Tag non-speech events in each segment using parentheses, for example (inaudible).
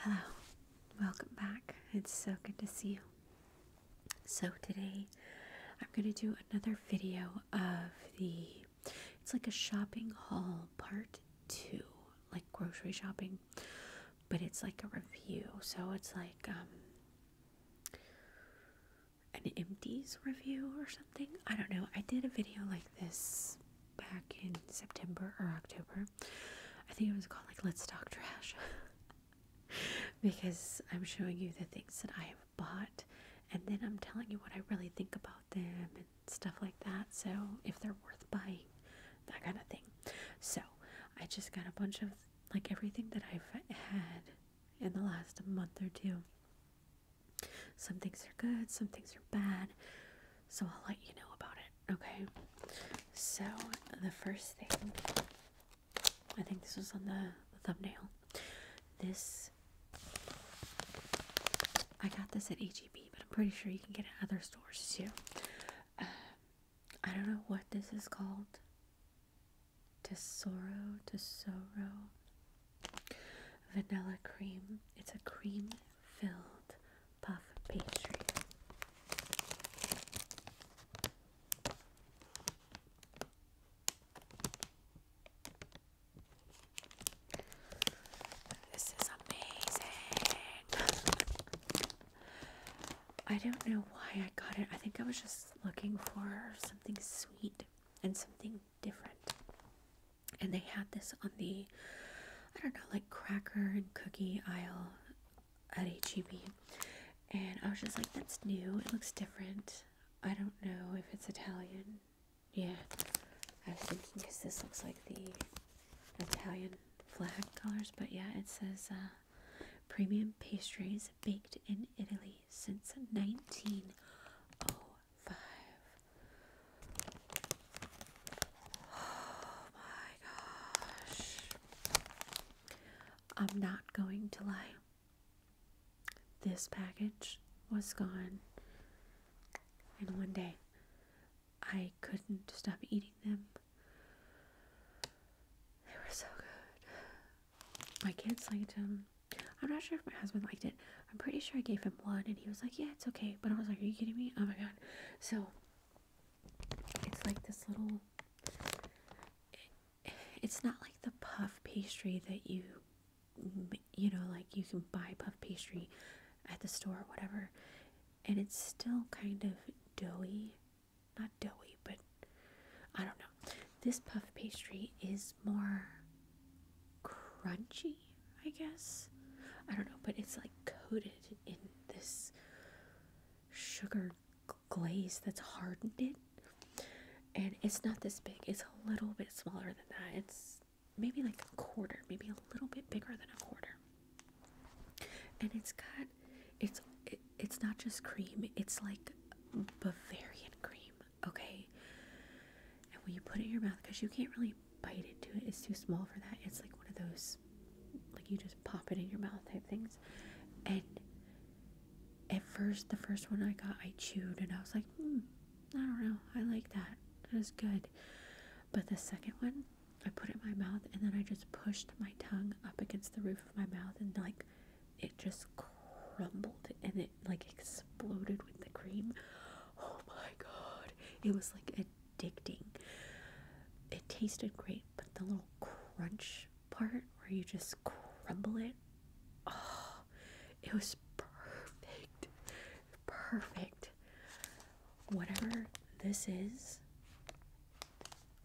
Hello, welcome back. It's so good to see you. So, today I'm going to do another video of the it's like a shopping haul part two, like grocery shopping, but it's like a review. So, it's like, um, an empties review or something. I don't know. I did a video like this back in September or October. I think it was called like Let's Talk Trash. (laughs) because I'm showing you the things that I have bought and then I'm telling you what I really think about them and stuff like that. So if they're worth buying, that kind of thing. So I just got a bunch of like everything that I've had in the last month or two. Some things are good, some things are bad, so I'll let you know about it, okay? So, the first thing, I think this was on the, thumbnail. This, I got this at HEB, but I'm pretty sure you can get it at other stores too. Uh, I don't know what this is called to sorrow to sorrow vanilla cream it's a cream filled puff pastry this is amazing I don't know why I got it I think I was just looking for something sweet and something different. And they had this on the, I don't know, like cracker and cookie aisle at HEB. And I was just like, that's new. It looks different. I don't know if it's Italian. Yeah. I was thinking because this looks like the Italian flag colors. But yeah, it says uh, premium pastries baked in Italy since 1905. (sighs) Oh my gosh. I'm not going to lie. This package was gone. And one day, I couldn't stop eating them. They were so good my kids liked him. I'm not sure if my husband liked it. I'm pretty sure I gave him one and he was like, yeah, it's okay. But I was like, are you kidding me? Oh my god. So it's like this little, it's not like the puff pastry that you, you know, like you can buy puff pastry at the store or whatever. And it's still kind of doughy not doughy, but I don't know. This puff pastry is more crunchy, I guess. I don't know, but it's like coated in this sugar glaze that's hardened it. And it's not this big, it's a little bit smaller than that. It's maybe like a quarter, maybe a little bit bigger than a quarter. And it's got it's it's not just cream, it's like Bavarian cream, okay? And when you put it in your mouth, because you can't really bite into it, it's too small for that. It's like one of those, like you just pop it in your mouth type things. And at first, the first one I got, I chewed and I was like, hmm, I don't know, I like that. That was good. But the second one, I put in my mouth and then I just pushed my tongue up against the roof of my mouth and like it just crumbled and it like exploded with the cream. Oh my god, it was like addicting. It tasted great, but the little crunch part where you just crumble it, oh, it was perfect. Perfect. Whatever this is,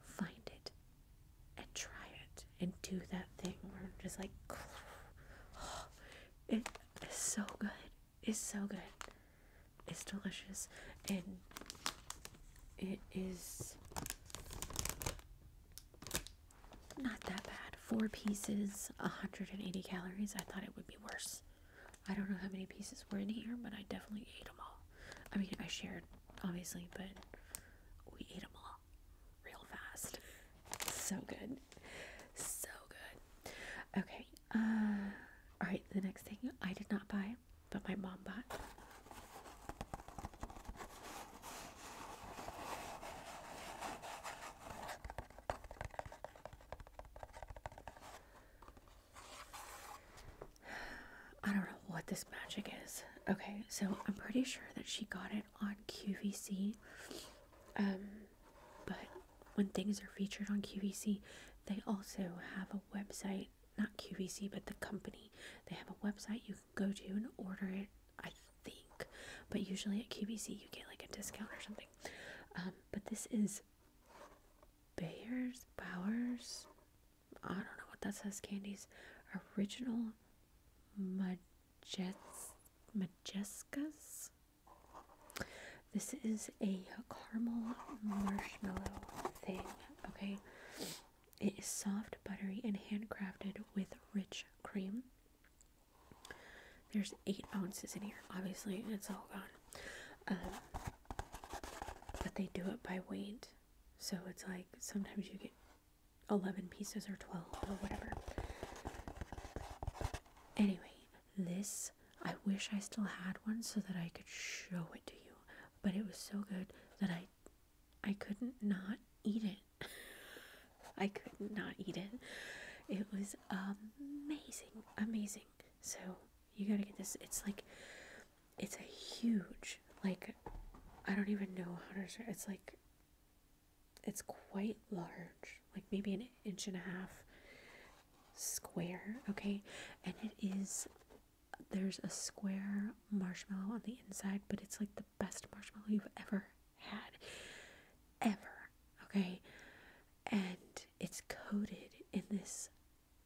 find it and try it and do that thing where I'm just like, (gasps) it is so good. It's so good. It's delicious. And it is not that bad. Four pieces, 180 calories. I thought it would be worse. I don't know how many pieces were in here, but I definitely ate them all. I mean, I shared, obviously, but we ate them all real fast. So good. So good. Okay. Uh, all right. The next thing I did not buy, but my mom bought. (sighs) I don't know what this magic is. Okay, so I'm pretty sure that she got it on QVC. Um, but when things are featured on QVC, they also have a website. Not QVC, but the company. They have a website you can go to and order it. I think, but usually at QVC you get like a discount or something. Um, but this is Bayer's Bowers. I don't know what that says. Candies, original. Mud Jets Majescas. This is a caramel marshmallow thing, okay? It is soft, buttery, and handcrafted with rich cream. There's eight ounces in here, obviously, it's all gone. Um, but they do it by weight, so it's like sometimes you get 11 pieces or 12 or whatever. Anyway, this, I wish I still had one so that I could show it to you, but it was so good that I I couldn't not eat it. (laughs) I could not eat it. It was amazing, amazing. So, you got to get this. It's like it's a huge like I don't even know how to it's like it's quite large, like maybe an inch and a half square, okay? And it is there's a square marshmallow on the inside, but it's like the best marshmallow you've ever had. Ever, okay? And it's coated in this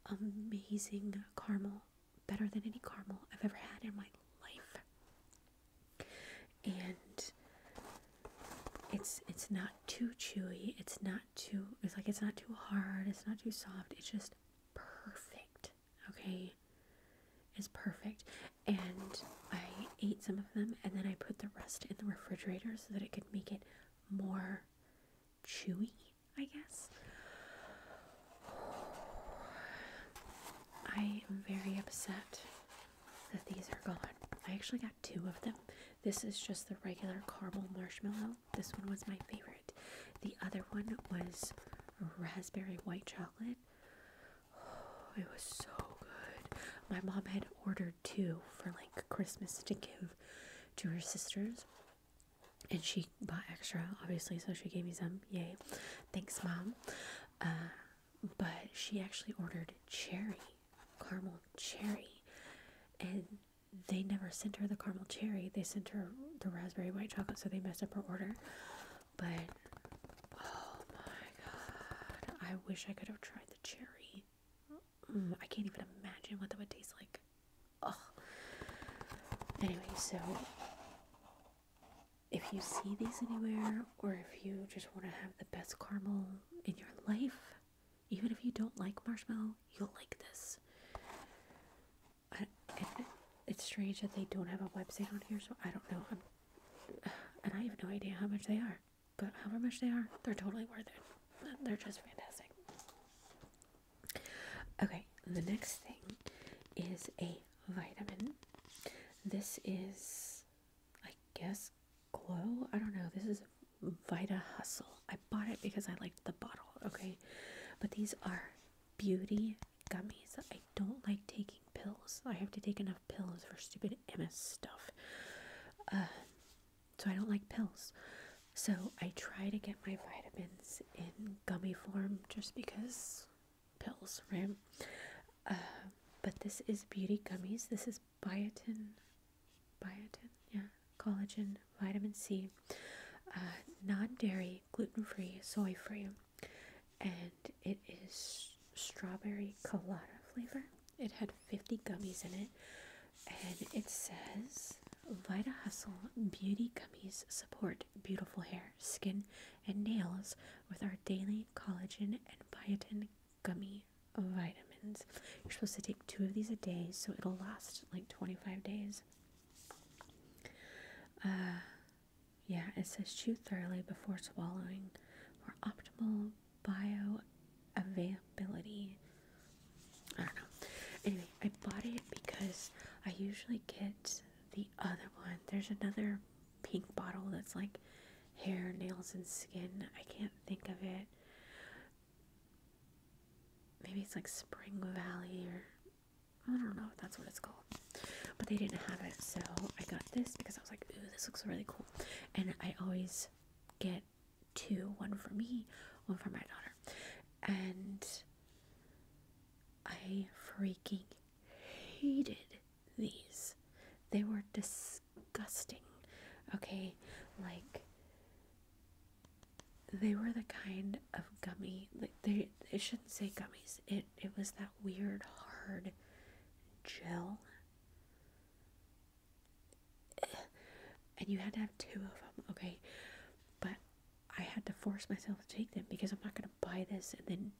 amazing caramel, better than any caramel I've ever had in my life and it's it's not too chewy it's not too it's like it's not too hard it's not too soft it's just perfect okay it's perfect and i ate some of them and then i put the rest in the refrigerator so that it could make it more chewy i guess I am very upset that these are gone. I actually got two of them. This is just the regular caramel marshmallow. This one was my favorite. The other one was raspberry white chocolate. Oh, (sighs) it was so good. My mom had ordered two for like Christmas to give to her sisters. And she bought extra, obviously, so she gave me some. Yay. Thanks, Mom. Uh, but she actually ordered cherry, caramel cherry, and they never sent her the caramel cherry. They sent her the raspberry white chocolate, so they messed up her order. But oh my god, I wish I could have tried the cherry. Mm, I can't even imagine what that would taste like. Ugh. Anyway, so if you see these anywhere, or if you just want to have the best caramel in your life, even if you don't like marshmallow, you'll like this. it's strange that they don't have a website on here, so I don't know. and I have no idea how much they are, but however much they are, they're totally worth it. They're just fantastic. Okay, the next thing is a vitamin. This is, I guess, Glow. I don't know. This is Vita Hustle. I bought it because I liked the bottle, okay? But these are beauty gummies. I don't like taking pills. I have to take enough pills for stupid MS stuff. Uh, so I don't like pills. So I try to get my vitamins in gummy form just because pills, right? Uh, but this is beauty gummies. This is biotin, biotin, yeah, collagen, vitamin C, uh, non-dairy, gluten-free, soy-free, and it is strawberry colada flavor. It had 50 gummies in it, and it says Vita Hustle Beauty Gummies Support Beautiful Hair skin, and nails with our daily collagen and biotin gummy vitamins. You're supposed to take two of these a day, so it'll last like 25 days. Uh, yeah, it says chew thoroughly before swallowing for optimal bioavailability. I don't know. Anyway, I bought it because I usually get the other one. There's another pink bottle that's like hair, nails, and skin. I can't think of it. Maybe it's like Spring Valley or I don't know if that's what it's called. But they didn't have it, so I got this because I was like, ooh, this looks really cool. And I always get two one for me, one for my daughter. And I freaking hated these. They were disgusting. Okay, like they were the kind of gummy like they they shouldn't say gummies. It it was that weird hard gel. (sighs) And you had to have two of them, okay? But I had to force myself to take them because I'm not going to buy this and then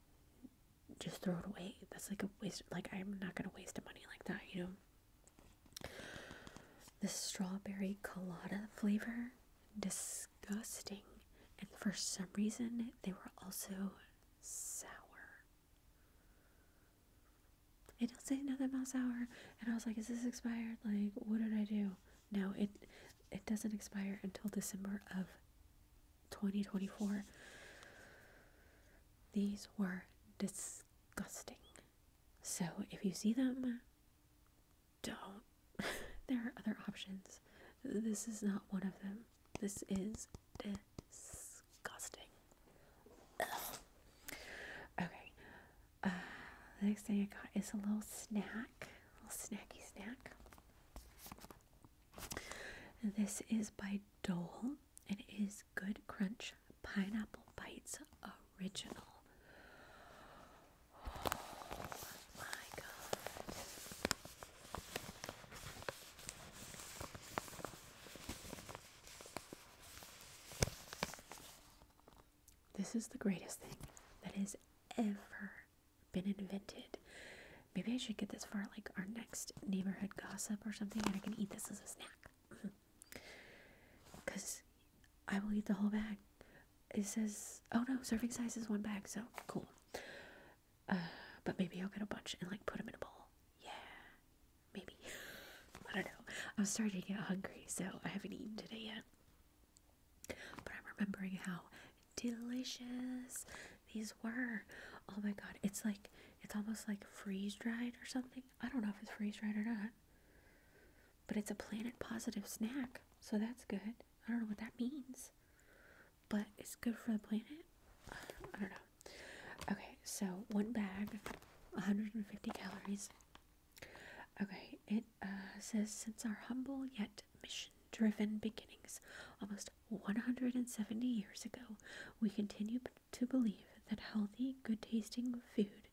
just throw it away. That's like a waste. Like I'm not gonna waste money like that, you know. This strawberry colada flavor, disgusting. And for some reason, they were also sour. And does will say another about sour, and I was like, "Is this expired? Like, what did I do?" No, it it doesn't expire until December of 2024. These were disgusting. So if you see them, don't. (laughs) there are other options. This is not one of them. This is disgusting. Okay. Uh, the next thing I got is a little snack, a little snacky snack. This is by Dole. It is Good Crunch Pineapple Bites Original. Oh this is the greatest thing that has ever been invented. Maybe I should get this for like our next neighborhood gossip or something, and I can eat this as a snack. Because (laughs) I will eat the whole bag. It says, oh no, serving size is one bag, so cool. Uh, but maybe I'll get a bunch and like put them in a bowl. Yeah, maybe. (laughs) I don't know. I'm starting to get hungry, so I haven't eaten today yet. But I'm remembering how delicious these were. Oh my god, it's like it's almost like freeze dried or something. I don't know if it's freeze dried or not. But it's a planet positive snack, so that's good. I don't know what that means. But it's good for the planet. I don't know. Okay, so one bag, 150 calories. Okay, it uh, says since our humble yet mission driven beginnings almost 170 years ago, we continued to believe that healthy, good tasting food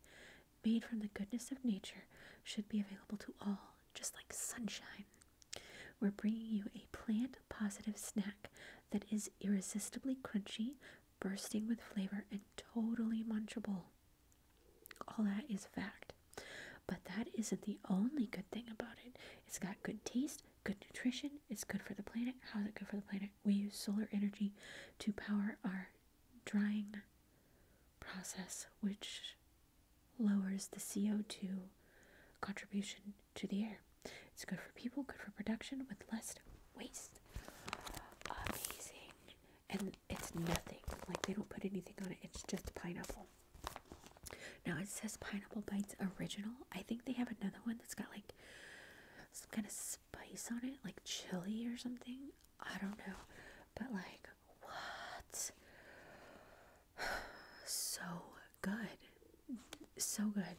made from the goodness of nature should be available to all, just like sunshine. We're bringing you a plant positive snack that is irresistibly crunchy, bursting with flavor, and totally munchable. All that is fact. But that isn't the only good thing about it. It's got good taste, good nutrition. It's good for the planet. How is it good for the planet? We use solar energy to power our drying process, which lowers the CO2 contribution to the air. It's good for people, good for production with less waste. Amazing. And it's nothing. Like they don't put anything on it, it's just pineapple. Now it says Pineapple Bites Original. I think they have another one that's got like some kind of spice on it, like chili or something. I don't know. But like, what? (sighs) so good. So good.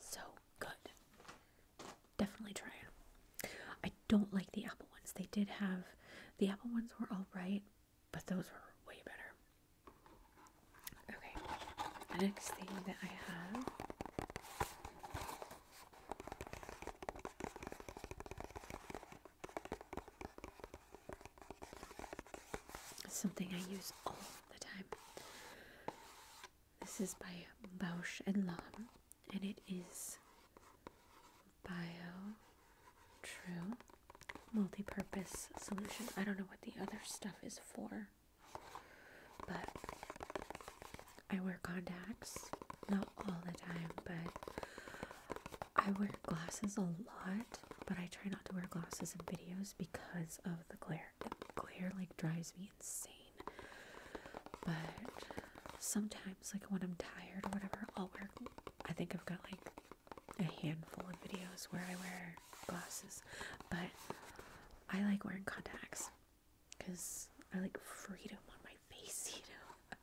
So good. Definitely try it. I don't like the apple ones. They did have, the apple ones were alright, but those were way better. Okay, the next thing that I have something I use all the time. This is by Bausch and Lomb, and it is Bio True multi-purpose solution. I don't know what the other stuff is for, but I wear contacts, not all the time, but I wear glasses a lot, but I try not to wear glasses in videos because of the glare. The glare like drives me insane. But sometimes like when I'm tired or whatever, I'll wear I think I've got like a handful of videos where I wear glasses, but I like wearing contacts because I like freedom on my face, (laughs) you know.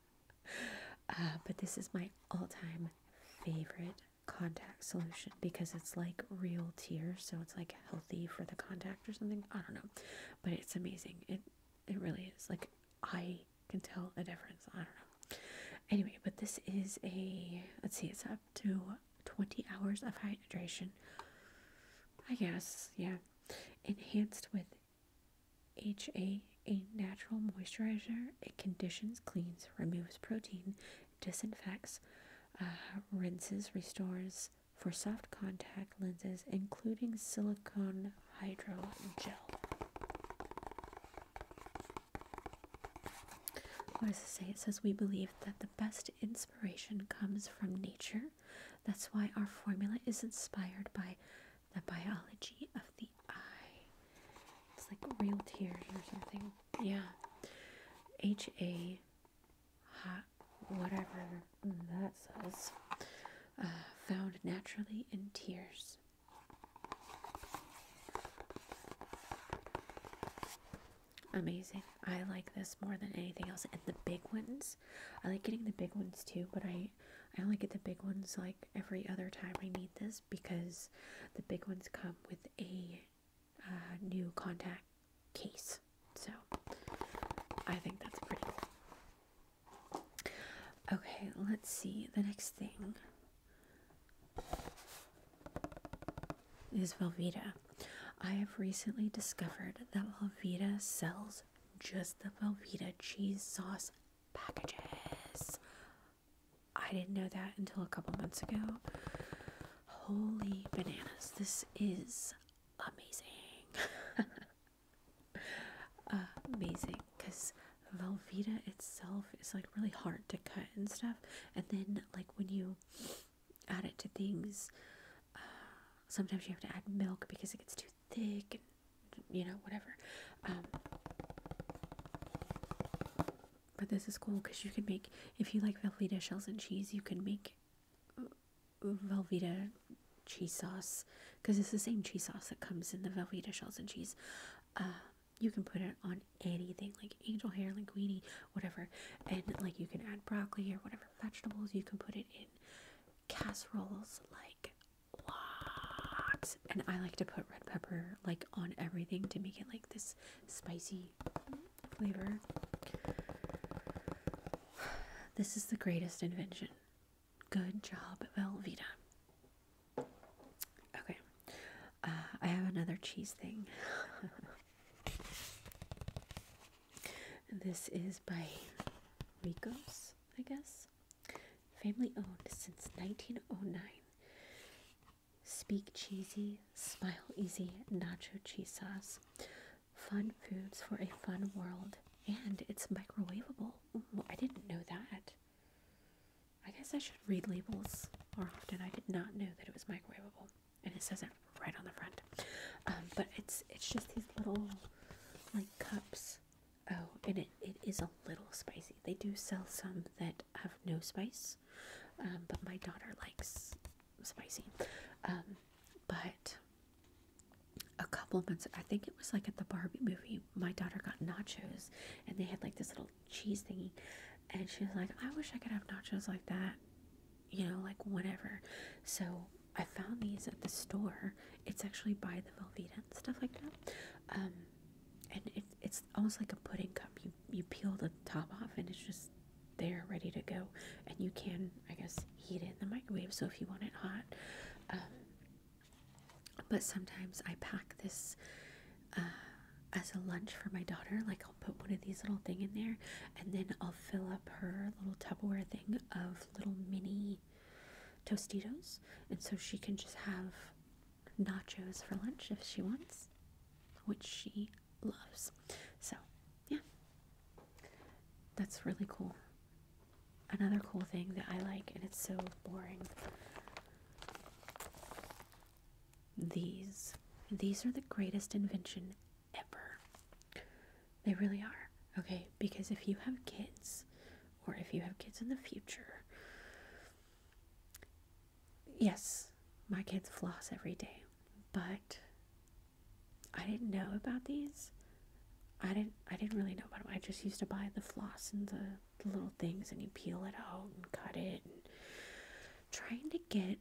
Uh, but this is my all time favorite contact solution because it's like real tears, so it's like healthy for the contact or something. I don't know, but it's amazing. It it really is. Like I can tell a difference. I don't know. Anyway, but this is a let's see, it's up to 20 hours of hydration. I guess, yeah. Enhanced with H A A natural moisturizer. It conditions, cleans, removes protein, disinfects, uh, rinses, restores for soft contact lenses, including silicone hydrogel. What does it say? It says we believe that the best inspiration comes from nature. That's why our formula is inspired by the biology of the eye. It's like real tears or something. Yeah. H A hot whatever that says. Uh, found naturally in tears amazing. I like this more than anything else. And the big ones, I like getting the big ones too, but I I only get the big ones like every other time I need this because the big ones come with a uh, new contact case. So I think that's pretty cool. Okay, let's see the next thing is Velveeta. I have recently discovered that Velveeta sells just the Velveeta cheese sauce packages. I didn't know that until a couple months ago. Holy bananas, this is amazing. (laughs) amazing because Velveeta itself is like really hard to cut and stuff. And then, like, when you add it to things. Uh, sometimes you have to add milk because it gets too thick, and you know, whatever. Um, but this is cool because you can make, if you like Velveeta shells and cheese, you can make uh, Velveeta cheese sauce because it's the same cheese sauce that comes in the Velveeta shells and cheese. Um, you can put it on anything like angel hair, linguine, whatever. And like you can add broccoli or whatever vegetables. You can put it in casseroles, like lots. And I like to put red pepper like on everything to make it like this spicy flavor. This is the greatest invention. Good job, Velveeta. Okay. Uh, I have another cheese thing. this is by Rico's, I guess. Family owned since 1909. Speak cheesy, smile easy, nacho cheese sauce. Fun foods for a fun world. And it's microwavable. I didn't know that. I guess I should read labels more often. I did not know that it was microwavable and it says it right on the front. Um, but it's it's just these little like cups. Oh, and it, it is a little spicy. They do sell some that have no spice, um, but my daughter likes spicy. Um, but a couple months, I think it was like at the Barbie movie, my daughter got nachos and they had like this little cheese thingy. And she was like, I wish I could have nachos like that, you know, like whatever." So I found these at the store. It's actually by the Velveeta and stuff like that. Um, and it, it's almost like a pudding cup. You, you peel the top off and it's just there ready to go. And you can, I guess, heat it in the microwave. So if you want it hot. Um, but sometimes I pack this as a lunch for my daughter. Like I'll put one of these little thing in there, and then I'll fill up her little Tupperware thing of little mini Tostitos, and so she can just have nachos for lunch if she wants, which she loves. So yeah, that's really cool. Another cool thing that I like, and it's so boring these. These are the greatest invention ever. They really are. Okay, because if you have kids, or if you have kids in the future, yes, my kids floss every day, but I didn't know about these. I didn't. I didn't really know about them. I just used to buy the floss and the, the little things, and you peel it out and cut it. And trying to get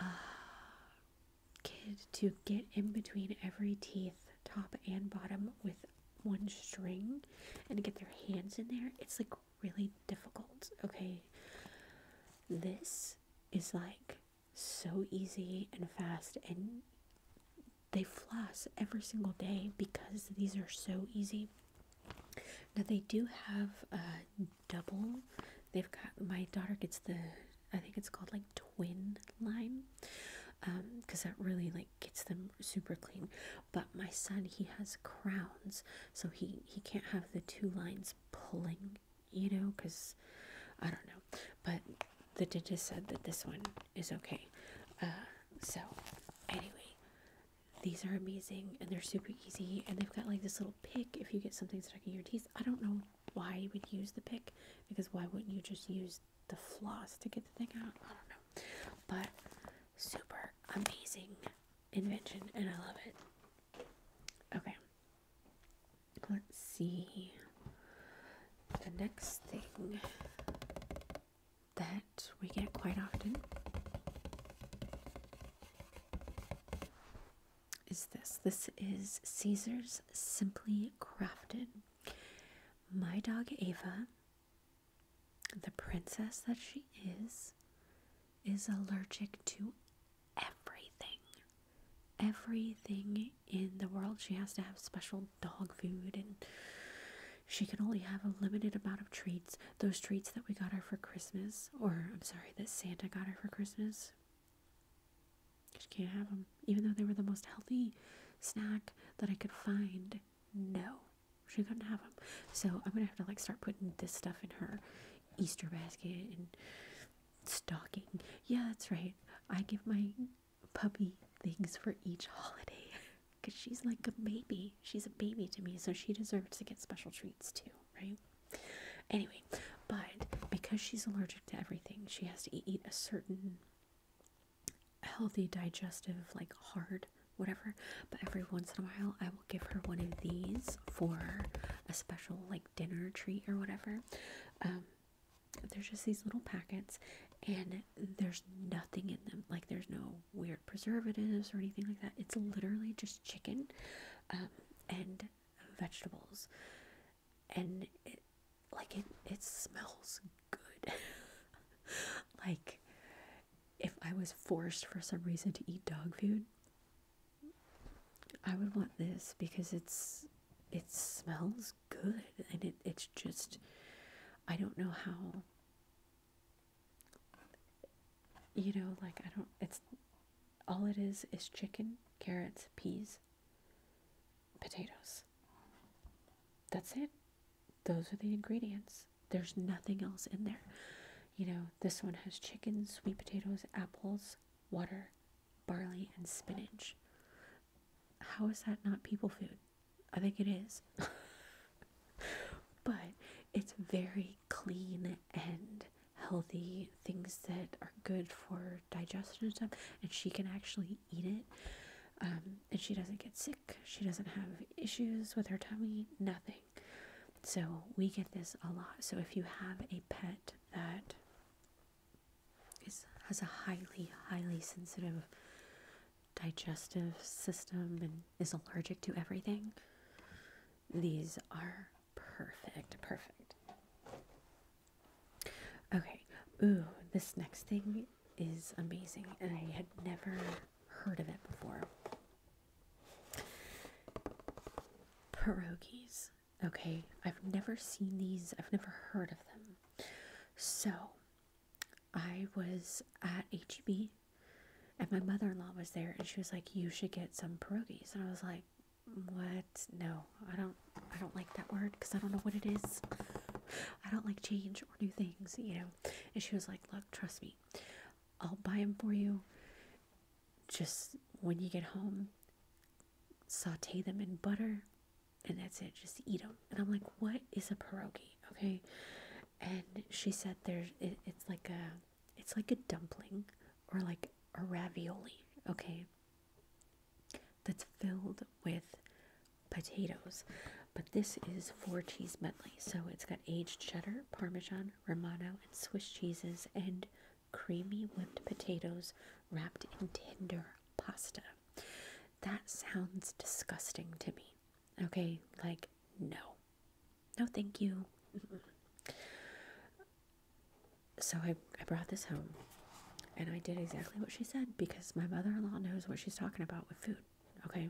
uh, kid to get in between every teeth, top and bottom, with one string and get their hands in there, it's like really difficult. Okay, this is like so easy and fast, and they floss every single day because these are so easy. Now, they do have a double. They've got my daughter gets the I think it's called like twin line, um, because that really like gets them super clean. But my son he has crowns, so he he can't have the two lines pulling, you know, because I don't know. But the dentist said that this one is okay. Uh, so anyway, these are amazing and they're super easy. And they've got like this little pick if you get something stuck in your teeth. I don't know why you would use the pick because why wouldn't you just use the floss to get the thing out? I don't know. But super amazing invention and I love it. Okay. Let's see. The next thing that we get quite often is this. This is Caesar's Simply Crafted. My dog Ava, the princess that she is, is allergic to everything. Everything in the world. She has to have special dog food and she can only have a limited amount of treats those treats that we got her for Christmas, or I'm sorry, that Santa got her for Christmas. She can't have them, even though they were the most healthy snack that I could find. No, she can not have them. So I'm gonna have to like start putting this stuff in her Easter basket and stocking. Yeah, that's right. I give my puppy things for each holiday because (laughs) she's like a baby. She's a baby to me, so she deserves to get special treats too, right? Anyway, but because she's allergic to everything, she has to eat a certain healthy digestive, like hard whatever. But every once in a while, I will give her one of these for a special like dinner treat or whatever. Um, there's just these little packets, and there's nothing in them. Like there's no weird preservatives or anything like that. It's literally just chicken. Um, and vegetables and it like it it smells good (laughs) like if i was forced for some reason to eat dog food i would want this because it's it smells good and it, it's just i don't know how you know, like I don't, it's all it is is chicken, carrots, peas, potatoes. That's it. Those are the ingredients. There's nothing else in there. You know, this one has chicken, sweet potatoes, apples, water, barley, and spinach. How is that not people food? I think it is. (laughs) but it's very clean and healthy things that are good for digestion and stuff, and she can actually eat it. Um, and she doesn't get sick, she doesn't have issues with her tummy, nothing. So, we get this a lot. So, if you have a pet that is, has a highly, highly sensitive digestive system and is allergic to everything, these are Perfect, perfect. Okay, ooh, this next thing is amazing, and I had never heard of it before. Pierogies. Okay, I've never seen these, I've never heard of them. So, I was at HEB and my mother in law was there and she was like, You should get some pierogies. And I was like, what? No, I don't. I don't like that word because I don't know what it is. (sighs) I don't like change or new things, you know. And she was like, look, trust me, I'll buy them for you. Just when you get home, saute them in butter, and that's it. Just eat them. And I'm like, what is a pierogi? Okay. And she said, there's it, it's like a it's like a dumpling or like a ravioli, okay? That's filled with potatoes. But this is four cheese medley. So it's got aged cheddar, parmesan, romano, and Swiss cheeses, and creamy whipped potatoes wrapped in tender pasta. That sounds disgusting to me. Okay, like no. No, thank you. so I, I brought this home and I did exactly what she said because my mother in law knows what she's talking about with food. Okay.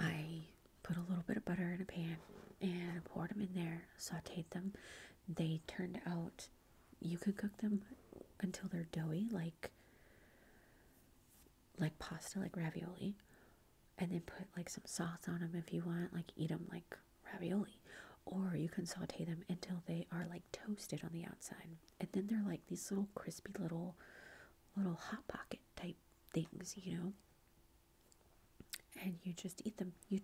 I put a little bit of butter in a pan and poured them in there, sauteed them. They turned out, you could cook them until they're doughy, like like pasta, like ravioli, and then put like some sauce on them if you want, like eat them like ravioli. Or you can saute them until they are like toasted on the outside. And then they're like these little crispy little, little hot pocket type things, you know? And you just eat them. You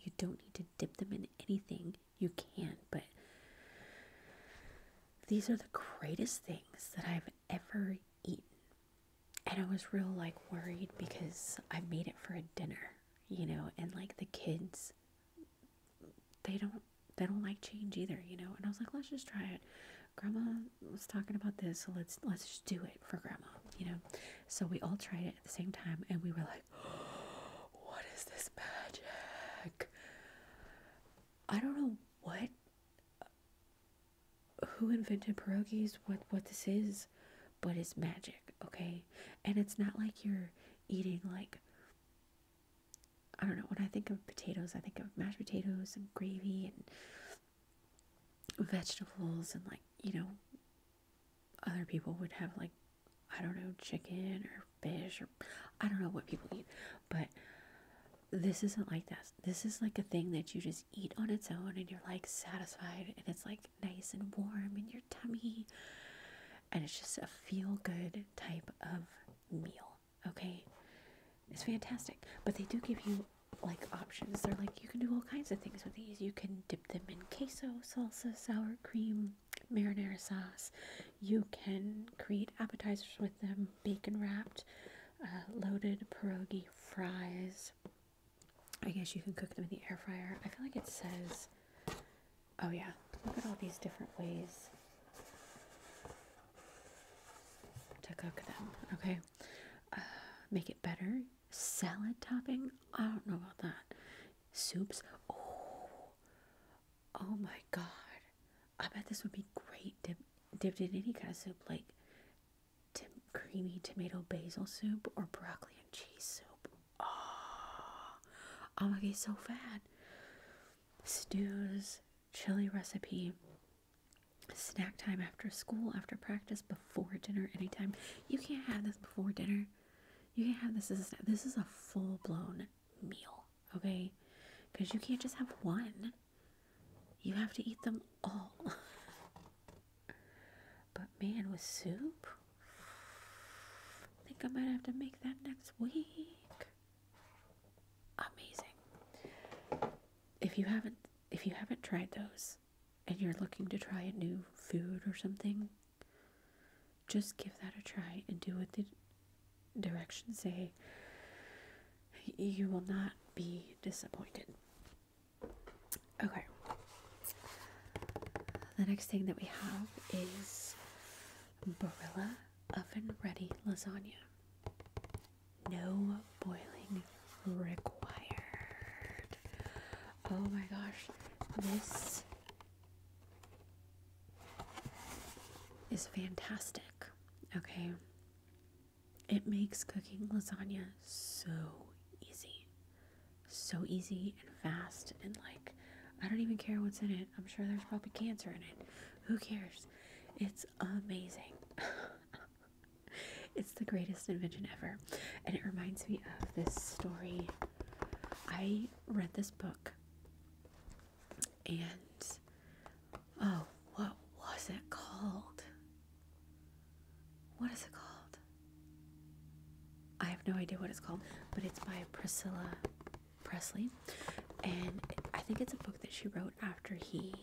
you don't need to dip them in anything. You can, but these are the greatest things that I've ever eaten. And I was real like worried because I made it for a dinner, you know, and like the kids they don't they don't like change either, you know. And I was like, let's just try it. Grandma was talking about this, so let's let's just do it for grandma, you know. So we all tried it at the same time and we were like, oh, (gasps) what is this magic? I don't know what who invented pierogies, what what this is, but it's magic, okay? And it's not like you're eating like I don't know, when I think of potatoes, I think of mashed potatoes and gravy and vegetables and like, you know, other people would have like I don't know, chicken or fish or I don't know what people eat, but this isn't like that. This is like a thing that you just eat on its own and you're like satisfied and it's like nice and warm in your tummy. And it's just a feel good type of meal. Okay? It's fantastic. But they do give you like options. They're like, you can do all kinds of things with these. You can dip them in queso, salsa, sour cream, marinara sauce. You can create appetizers with them, bacon wrapped, uh, loaded pierogi fries, I guess you can cook them in the air fryer. I feel like it says, oh yeah, look at all these different ways to cook them. Okay, uh, make it better. Salad topping? I don't know about that. Soups? Oh, oh my god! I bet this would be great dip, dipped in any kind of soup, like Tim creamy tomato basil soup or broccoli and cheese soup. Oh, I'm gonna get so fat. Stew's chili recipe. Snack time after school, after practice, before dinner, anytime. You can't have this before dinner. You can't have this as a This is a full blown meal, okay? Because you can't just have one. You have to eat them all. (laughs) but man, with soup, I think I might have to make that next week. Amazing. If you haven't if you haven't tried those and you're looking to try a new food or something, just give that a try and do what the directions say. You will not be disappointed. Okay. The next thing that we have is Barilla oven ready lasagna. No boiling required. Oh my gosh, this is fantastic. Okay. It makes cooking lasagna so easy. So easy and fast and like I don't even care what's in it. I'm sure there's probably cancer in it. Who cares? It's amazing. (laughs) it's the greatest invention ever. And it reminds me of this story. I read this book and oh, what was it called? What is it called? I have no idea what it's called, but it's by Priscilla Presley. And I think it's a book that she wrote after he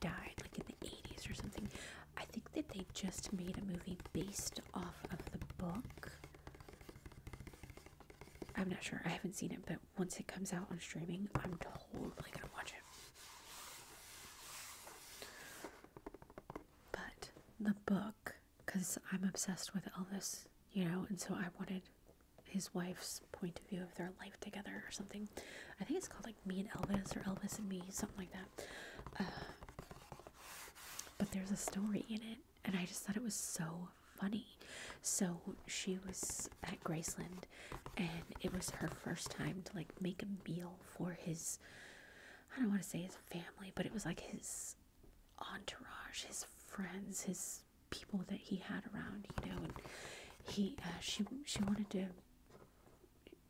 died, like in the 80s or something. I think that they just made a movie based off of the book. I'm not sure. I haven't seen it, but once it comes out on streaming, I'm totally gonna watch it. But the book, because I'm obsessed with Elvis, you know, and so I wanted his wife's point of view of their life together or something. I think it's called like Me and Elvis or Elvis and Me, something like that. Uh, but there's a story in it, and I just thought it was so funny. So she was at Graceland, and it was her first time to like make a meal for his I don't want to say his family, but it was like his entourage, his friends, his people that he had around, you know, and he uh, she she wanted to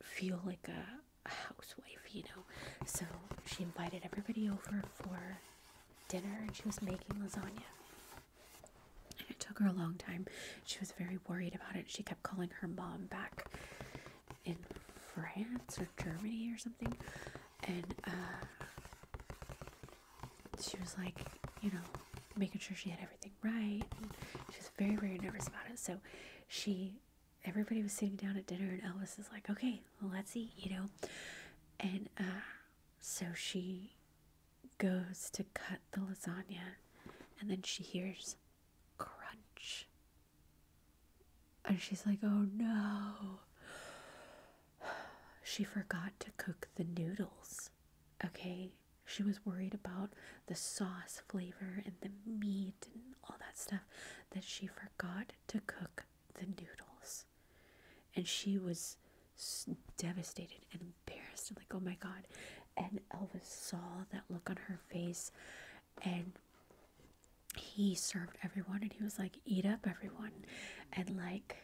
feel like a housewife, you know. So she invited everybody over for dinner and she was making lasagna. And it took her a long time she was very worried about it. She kept calling her mom back in France or Germany or something. And uh, she was like, you know, making sure she had everything right. she was very, very nervous about it. So she, everybody was sitting down at dinner, and Elvis is like, okay, well, let's eat, you know. And uh, so she goes to cut the lasagna, and then she hears crunch. And she's like, oh no. She forgot to cook the noodles. Okay? She was worried about the sauce flavor and the meat and all that stuff that she forgot to cook the noodles. And she was devastated and embarrassed. i like, oh my god, and Elvis saw that look on her face and he served everyone and he was like, eat up everyone. And like,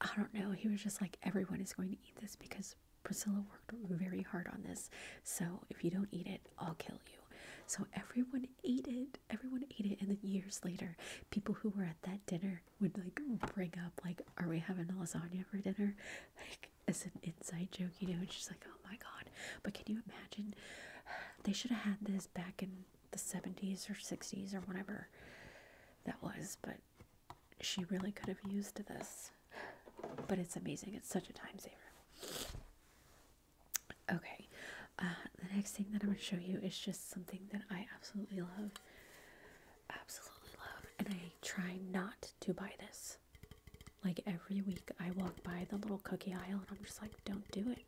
I don't know, he was just like, everyone is going to eat this because Priscilla worked very hard on this. So if you don't eat it, I'll kill you. So everyone ate it. Everyone ate it. And then years later, people who were at that dinner would like bring up, like, are we having lasagna for dinner? (laughs) Like, like as an inside joke, you know, and she's like, oh my god. But can you imagine? They should have had this back in the 70s or 60s or whatever that was, but she really could have used this. But it's amazing, it's such a time saver. Okay, uh, the next thing that I'm going to show you is just something that I absolutely love. Absolutely love, and I try not to buy this like every week, I walk by the little cookie aisle and I'm just like, don't do it.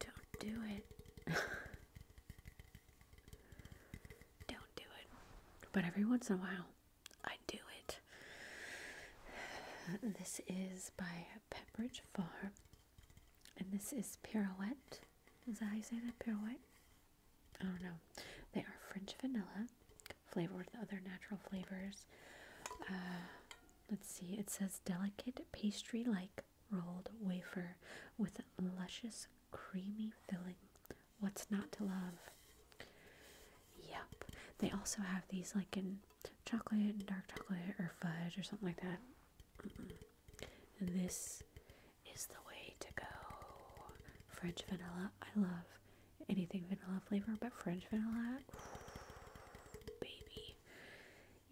Don't do it. (laughs) don't do it. But every once in a while, I do it. (sighs) This is by Pepperidge Farm. And this is Pirouette. Is that how you say that? Pirouette? I oh, don't know. They are French vanilla flavored with other natural flavors. Uh, let's see. It says delicate pastry-like rolled wafer with luscious creamy filling. What's not to love? Yep. They also have these like in chocolate dark chocolate or fudge or something like that. This is the way to go. French vanilla. I love anything vanilla flavor, but French vanilla. baby.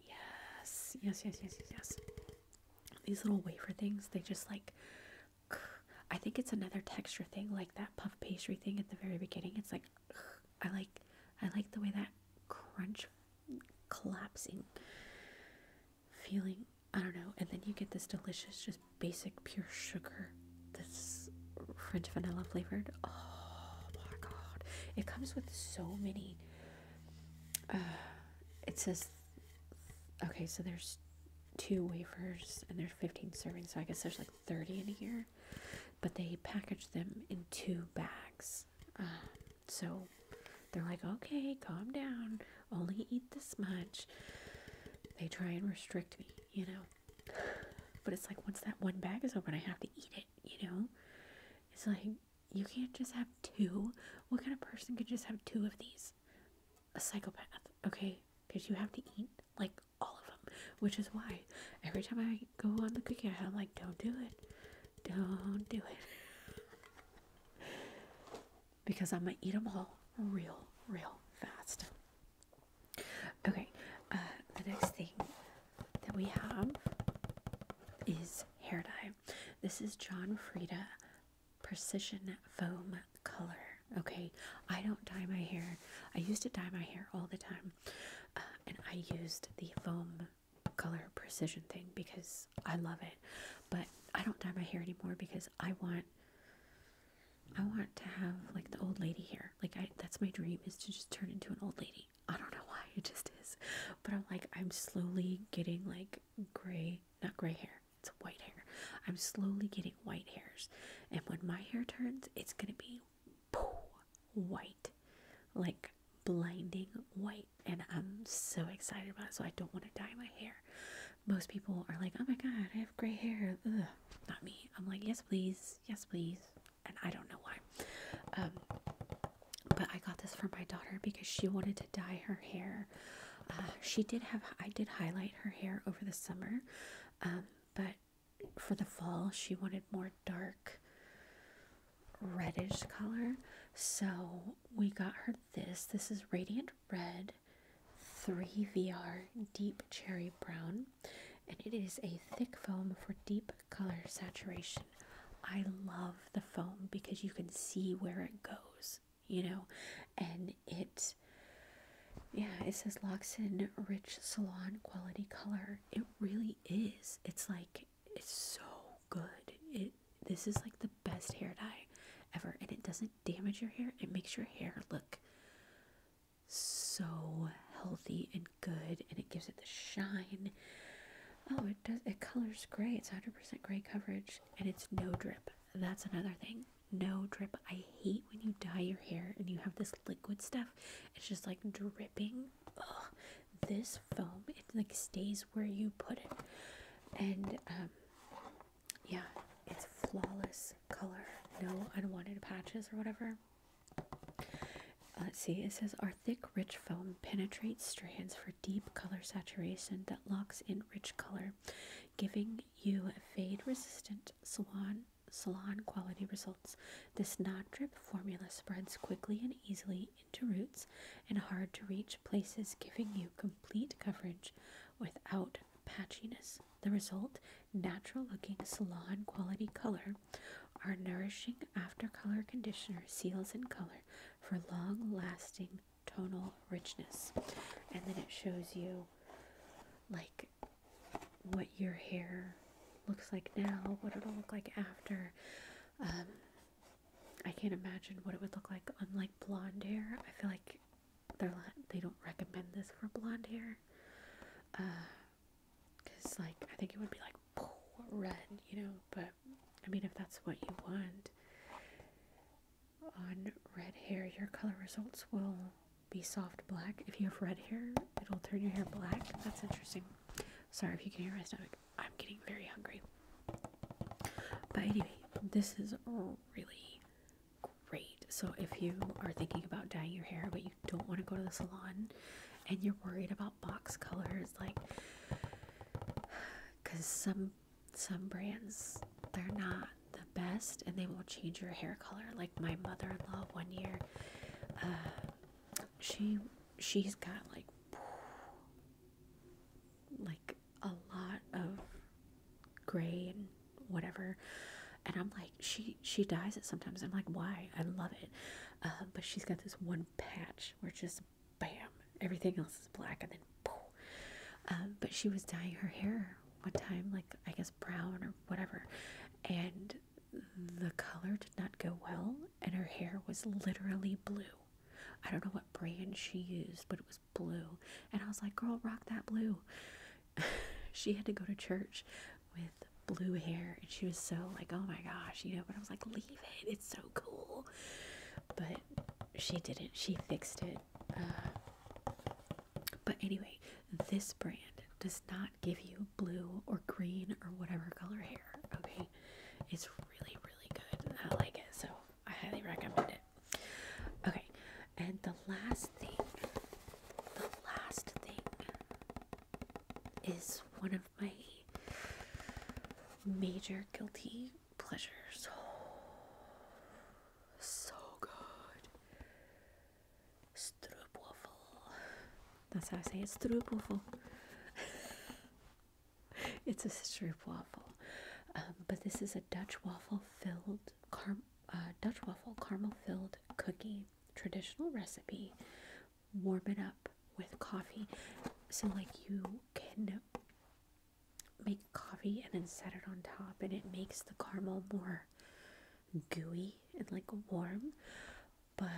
Yes, yes, yes, yes, yes. These little wafer things, they just like I think it's another texture thing, like that puff pastry thing at the very beginning. It's like I like I like the way that crunch collapsing feeling. I don't know. And then you get this delicious just basic pure sugar. This French vanilla flavored. Oh my god. It comes with so many. Uh, it says, okay, so there's two wafers and there's 15 servings, so I guess there's like 30 in here. But they package them in two bags. Uh, so they're like, okay, calm down, only eat this much. They try and restrict me you know. But it's like once that one bag is open, I have to eat it, you know. It's like you can't just have two. What kind of person could just have two of these? A psychopath, okay? Because you have to eat like all of them, which is why every time I go on the cookie, I'm like, don't do it, don't do it, (laughs) because I'm gonna eat them all real, real fast. Okay, uh, the next thing that we have is hair dye. This is John Frieda Precision Foam Color. Okay, I don't dye my hair. I used to dye my hair all the time, uh, and I used the foam color precision thing because I love it. But I don't dye my hair anymore because I want I want to have like the old lady here. Like I that's my dream is to just turn into an old lady. I don't know why it just is. But I'm like I'm slowly getting like gray, not gray hair. It's white hair. I'm slowly getting white hairs. And when my hair turns, it's going to be white. Like blinding white and I'm so excited about it. So I don't want to dye my hair most people are like, oh my God, I have gray hair. not me. I'm like, yes, please. Yes, please. And I don't know why. Um, but I got this for my daughter because she wanted to dye her hair. Uh, she did have, I did highlight her hair over the summer. Um, but for the fall, she wanted more dark reddish color. So we got her this. This is Radiant Red 3VR Deep Cherry Brown, and it is a thick foam for deep color saturation. I love the foam because you can see where it goes, you know, and it. Yeah, it says Loxin Rich Salon Quality Color. It really is. It's like it's so good. It this is like the best hair dye ever and it doesn't damage your hair. It makes your hair look so healthy and good and it gives it the shine. Oh, it does it colors gray. It's 100% gray coverage and it's no drip. That's another thing. No drip. I hate when you dye your hair and you have this liquid stuff. It's just like dripping. This foam, it like stays where you put it. And um yeah, it's flawless color. No unwanted patches or whatever. Uh, let's see, it says our thick, rich foam penetrates strands for deep color saturation that locks in rich color, giving you fade resistant salon salon quality results. This non-drip formula spreads quickly and easily into roots and hard to reach places, giving you complete coverage without patchiness. The result natural looking salon quality color Our nourishing after color conditioner seals in color for long lasting tonal richness. And then it shows you like what your hair looks like now, what it'll look like after. Um, I can't imagine what it would look like on like blonde hair. I feel like they're not, they don't recommend this for blonde hair. Uh, cause like I think it would be like red, you know. But I mean, if that's what you want on red hair, your color results will be soft black. If you have red hair, it'll turn your hair black. That's interesting. Sorry if you can hear my stomach. I'm getting very hungry. But anyway, this is really great. So if you are thinking about dyeing your hair but you don't want to go to the salon and you're worried about box colors like cuz some some brands they're not the best and they will change your hair color like my mother-in-law one year uh, she she's got like like a lot of gray and whatever. And I'm like, she she dyes it sometimes. I'm like, why? I love it. Uh, but she's got this one patch where it's just bam, everything else is black, and then poof. Um, but she was dyeing her hair one time, like I guess brown or whatever, and the color did not go well, and her hair was literally blue. I don't know what brand she used, but it was blue. And I was like, girl, rock that blue. (laughs) she had to go to church with blue hair and she was so like oh my gosh you know but i was like leave it it's so cool but she didn't she fixed it uh, but anyway this brand does not give you blue or green or whatever color hair okay it's really really good i like it so i highly recommend it okay and the last thing the last thing is one of my major guilty pleasures. so good. Stroopwafel. That's how I say it. Stroopwafel. (laughs) it's a stroopwafel. Um, but this is a Dutch waffle filled, car uh, Dutch waffle caramel filled cookie, traditional recipe. Warm it up with coffee. So, like, you can make coffee and then set it on top, and it makes the caramel more gooey and like warm. But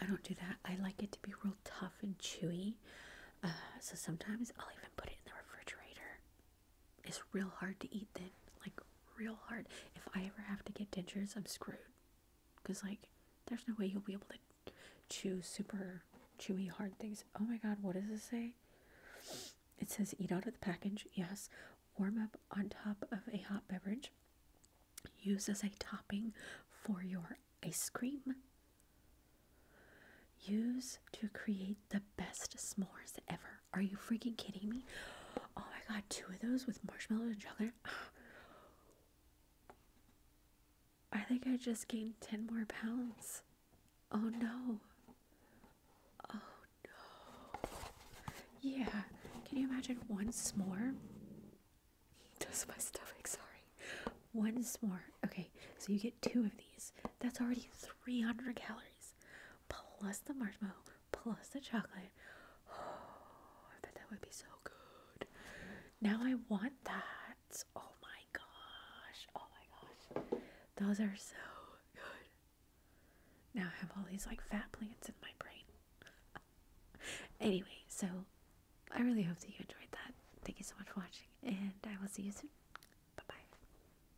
I don't do that. I like it to be real tough and chewy. Uh, so sometimes I'll even put it in the refrigerator it's real hard to eat then. Like, real hard. If I ever have to get dentures, I'm screwed. Because, like, there's no way you'll be able to chew super chewy hard things. Oh my god, what does it say? It says eat out of the package, yes. Warm up on top of a hot beverage. Use as a topping for your ice cream. Use to create the best s'mores ever. Are you freaking kidding me? Oh my god, two of those with marshmallow and chocolate. I think I just gained 10 more pounds. Oh no. Oh no. Yeah. Can you imagine one s'more? Does my stomach, sorry. One s'more. Okay, so you get two of these. That's already 300 calories plus the marshmallow plus the chocolate. Oh, I bet that would be so good. Now I want that. Oh my gosh. Oh my gosh. Those are so good. Now I have all these like fat plants in my brain. (laughs) anyway, so I really hope that you enjoyed that. Thank you so much for watching, and I will see you soon. Bye bye.